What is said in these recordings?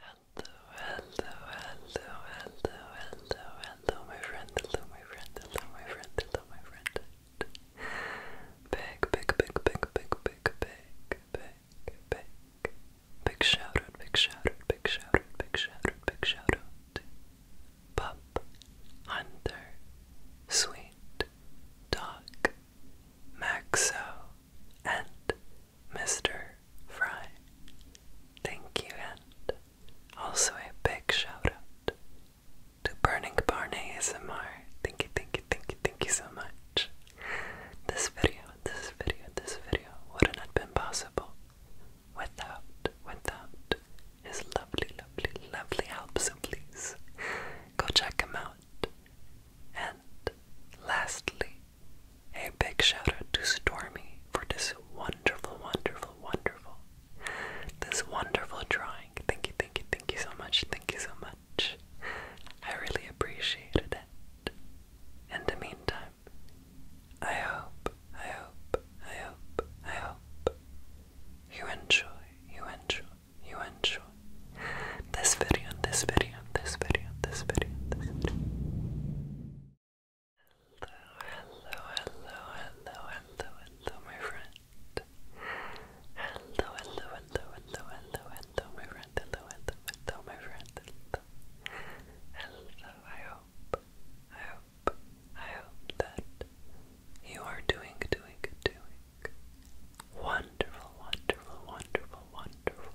Hello, hello, hello, hello, hello, hello, my friend, hello, my friend, hello, my friend, hello, my friend. Big, big, big, big, big, big, big, big, big, big shout out, big shout out, big shout out, big shout out, big shout out. Pup, Hunter, Sweet, Dog, Maxo, and Mr. Fry. Thank you, and also a big shout out to Burning Barney ASMR. Thank you, thank you, thank you, thank you so much. This video, this video, this video wouldn't have been possible without, without his lovely, lovely, lovely help. So please go check him out. And lastly, a big shout out to Stormy for this wonderful, wonderful, wonderful, this wonderful drawing. Thank you, thank you, thank you so much, thank you so much. I really appreciated it. In the meantime, I hope, I hope, I hope, I hope you enjoy, you enjoy, you enjoy this video and this video this video, this video, this video. Hello, hello, hello, hello, hello, my friend. Hello, hello, hello, hello, hello, hello, my friend. Hello, hello, hello, my friend. Hello, I hope, I hope, I hope that you are doing, doing, doing wonderful, wonderful, wonderful, wonderful.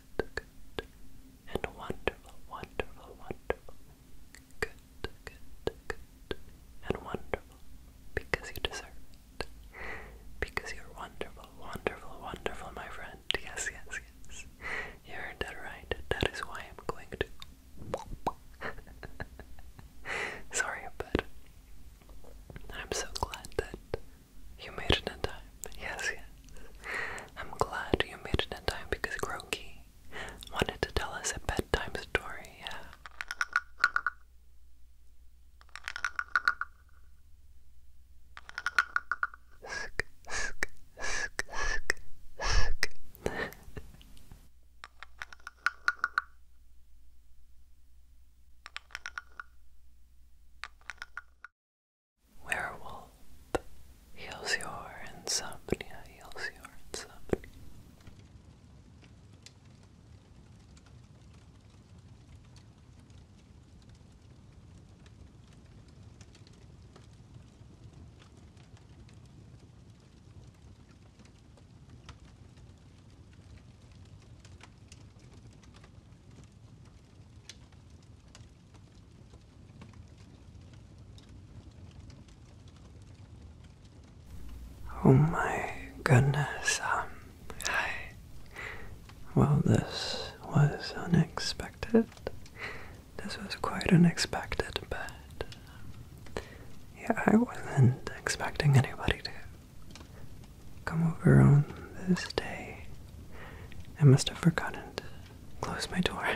and wonderful, wonderful, wonderful. Good, good, good, and wonderful because you deserve it. Because you're wonderful, wonderful, wonderful, my friend. Yes, yes, yes. You heard that right. That is why I'm going to. Sorry, but I'm so glad that you made it in time. Yes, yes. I'm glad you made it in time because Groki wanted to tell us a bedtime story, yeah. Werewolf heals your insomnia, heals your insomnia. Oh my goodness. Um, well, this was unexpected. This was quite unexpected, but yeah, I wasn't expecting anybody to come over on this day. I must have forgotten close my door.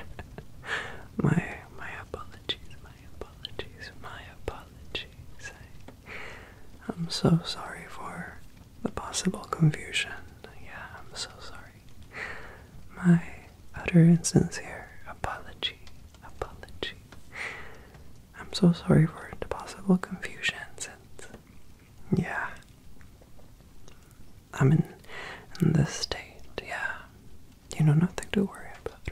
my my apologies, my apologies, my apologies. I, am so sorry for the possible confusion. Yeah, I'm so sorry. My utter and sincere apology, apology. I'm so sorry for the possible confusion since, yeah, I'm in, in this state, yeah. You know, nothing to worry about.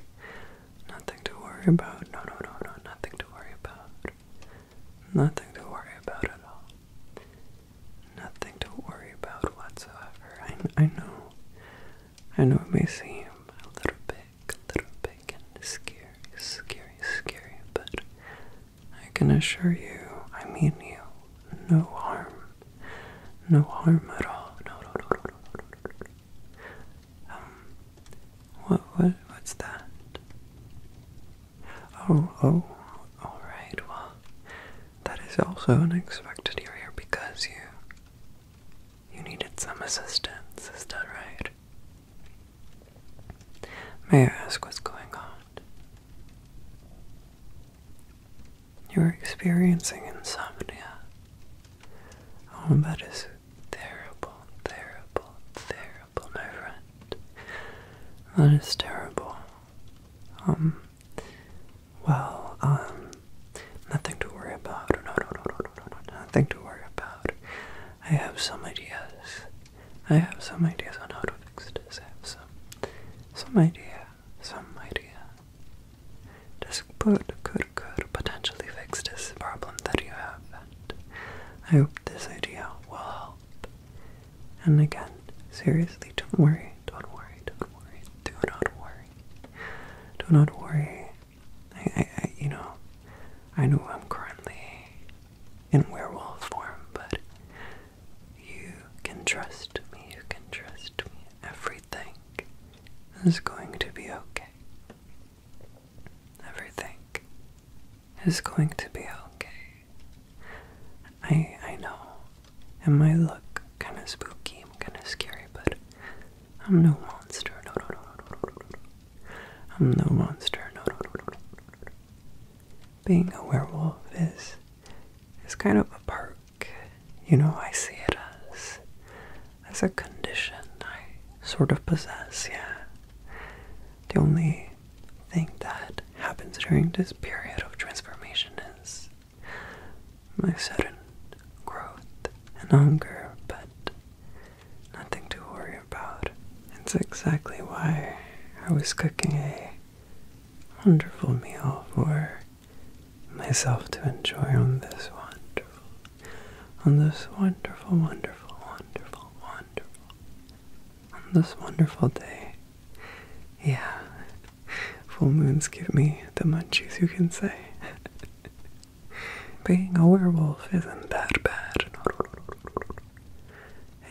Nothing to worry about. No, no, no, no, nothing to worry about. Nothing to worry about at all. Nothing to worry about whatsoever. I, I know. I know it may seem a little big, a little big and scary, scary, scary, but I can assure you I mean you no harm. No harm at all. Um, what, what, what's that? Oh, oh, all right. Well, that is also unexpected you're here because you, you needed some assistance. Is that right? May I ask what's going on? You're experiencing insomnia. Oh, that is terrible, terrible, terrible, my friend. That is terrible. Um, well, um, nothing to worry about. No, no, no, no, no, no, nothing to worry about. I have some ideas. I have some ideas on how to fix this. I have some, some idea some idea. This could, could, could potentially fix this problem that you have, and I hope this idea will help. And again, seriously, don't worry, don't worry, don't worry, do not worry. Do not worry. I, I, you know, I know I'm currently in werewolf form, but you can trust me, you can trust me. Everything is going to be okay. Everything is going to be okay. I I know. It might look kinda spooky and kinda scary, but I'm no monster. No no no no no no no. I'm no monster. No no no no no no being a werewolf is is kind of a perk. You know, I see it as as a condition I sort of possess, yeah. The only thing that happens during this period of transformation is my sudden growth and hunger, but nothing to worry about. It's exactly why I was cooking a wonderful meal for myself to enjoy on this wonderful, on this wonderful, wonderful, wonderful, wonderful, on this wonderful day. Yeah, full moons give me the munchies, you can say. Being a werewolf isn't that bad.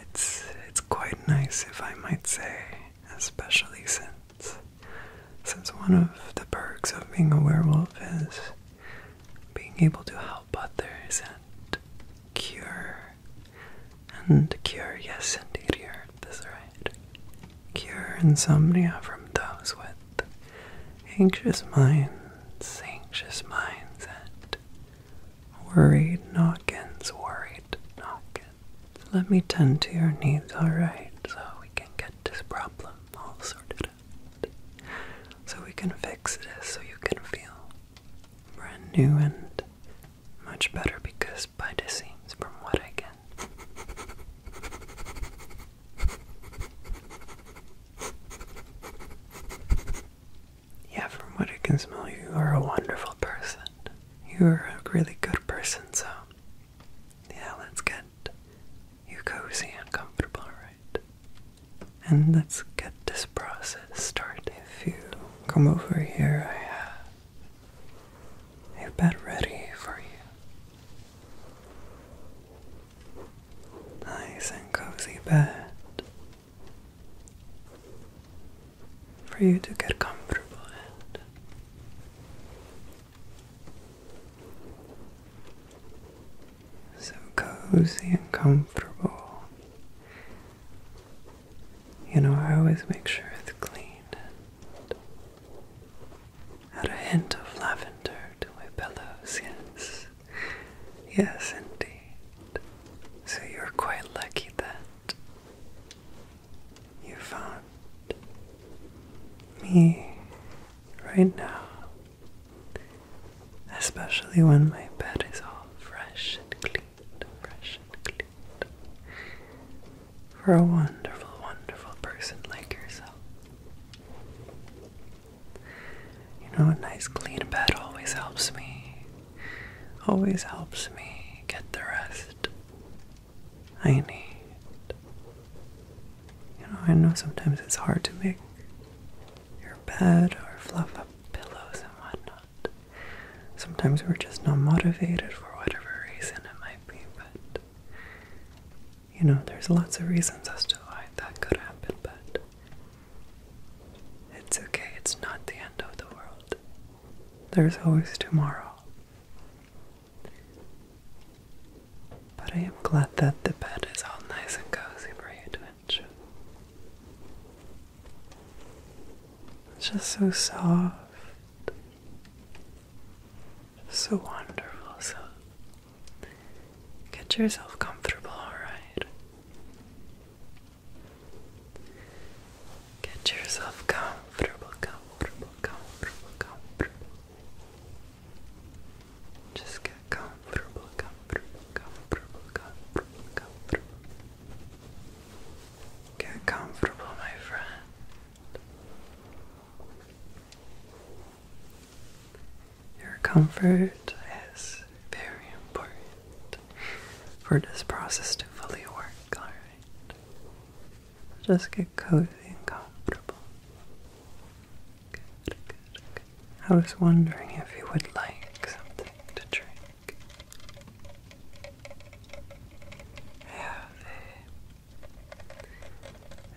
It's it's quite nice if I might say, especially since since one of the perks of being a werewolf is being able to help others and cure. And cure, yes, indeed, you heard this right. Cure insomnia from those with anxious minds, anxious minds, and worried noggins, worried noggins. Let me tend to your needs, alright? So we can get this problem all sorted out. So we can fix it. so you can feel brand new and much better because by the seams from what I can. Yeah, from what I can smell, you are a wonderful person. You're a really good person, so yeah, let's get you cozy and comfortable, alright? And let's get this process started. If you come over here, I have a bed ready for you. Nice and cozy bed for you to get comfortable and so cozy and comfortable. You know, I always make sure it's clean add a hint of lavender to my pillows, yes. Yes, indeed. So you're quite lucky that you found me right now, especially when my bed is all fresh and clean, fresh and clean. For a wonderful, wonderful person like yourself. You know, a nice clean bed always helps me, always helps me get the rest I need. You know, I know sometimes it's hard to make your bed or fluff up pillows and whatnot. Sometimes we're just not motivated for whatever reason it might be, but you know, there's lots of reasons as to why that could happen, but it's okay, it's not the end of the world. There's always tomorrow. But I am glad that the bed is all nice and cozy for you to enjoy. It's just so soft, so wonderful. So get yourself comfortable, alright? Get yourself comfortable, comfortable, comfortable, comfortable. Just get comfortable, comfortable, comfortable, comfortable, comfortable. Get comfortable, my friend. Your comfort is very important for this process to fully work, alright? Just get cozy and comfortable. Good, good, good. I was wondering if you would like something to drink. I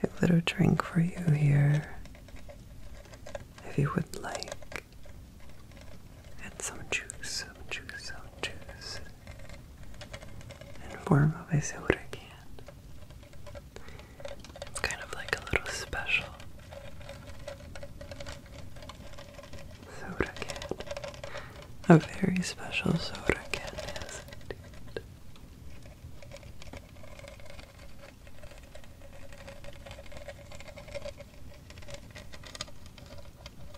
a, a little drink for you here. If you would like, and some juice, some juice, some juice and warm up. I say what I can. It's kind of like a little special. Soda can. A very special soda can, yes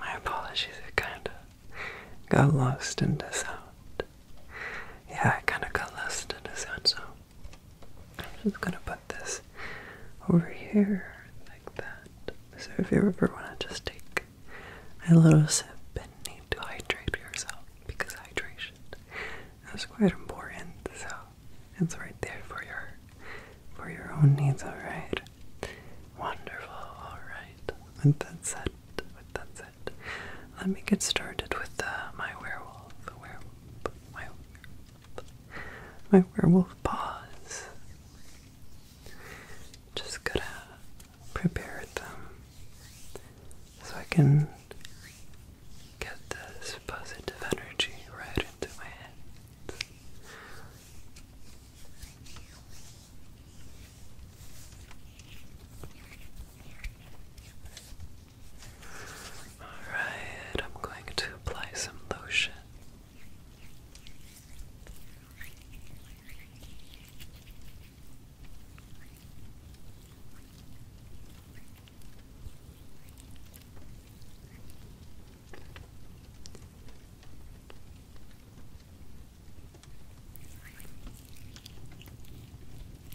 My apologies, it kind of got lost in the sound yeah, I kind of got lost in a sound, so I'm just gonna put this over here like that. So if you ever want to just take a little sip and need to hydrate yourself, because hydration is quite important, so it's right there for your for your own needs. All right, wonderful. All right, with that said, with that said, let me get started with uh, my werewolf, my werewolf, paws. Just gotta prepare them so I can get this positive energy right into my head. Alright, I'm going to apply some lotion.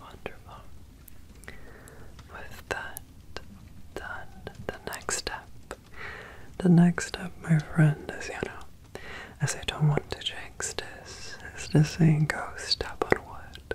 Wonderful. With that done, the next step, the next step, my friend, is you know, as I don't want to jinx this, is to saying go step on what.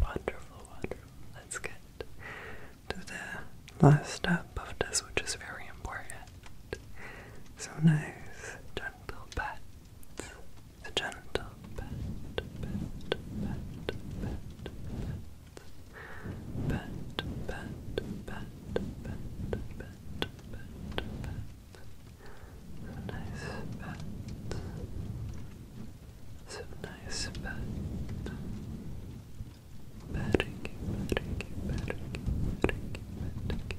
Wonderful, wonderful. Let's get to the last step of this, which is very important. So nice, gentle pat, a gentle pat, pat, pat, pat, pat, nice pat, so nice pat, Patting, patting, patting, patting, patting,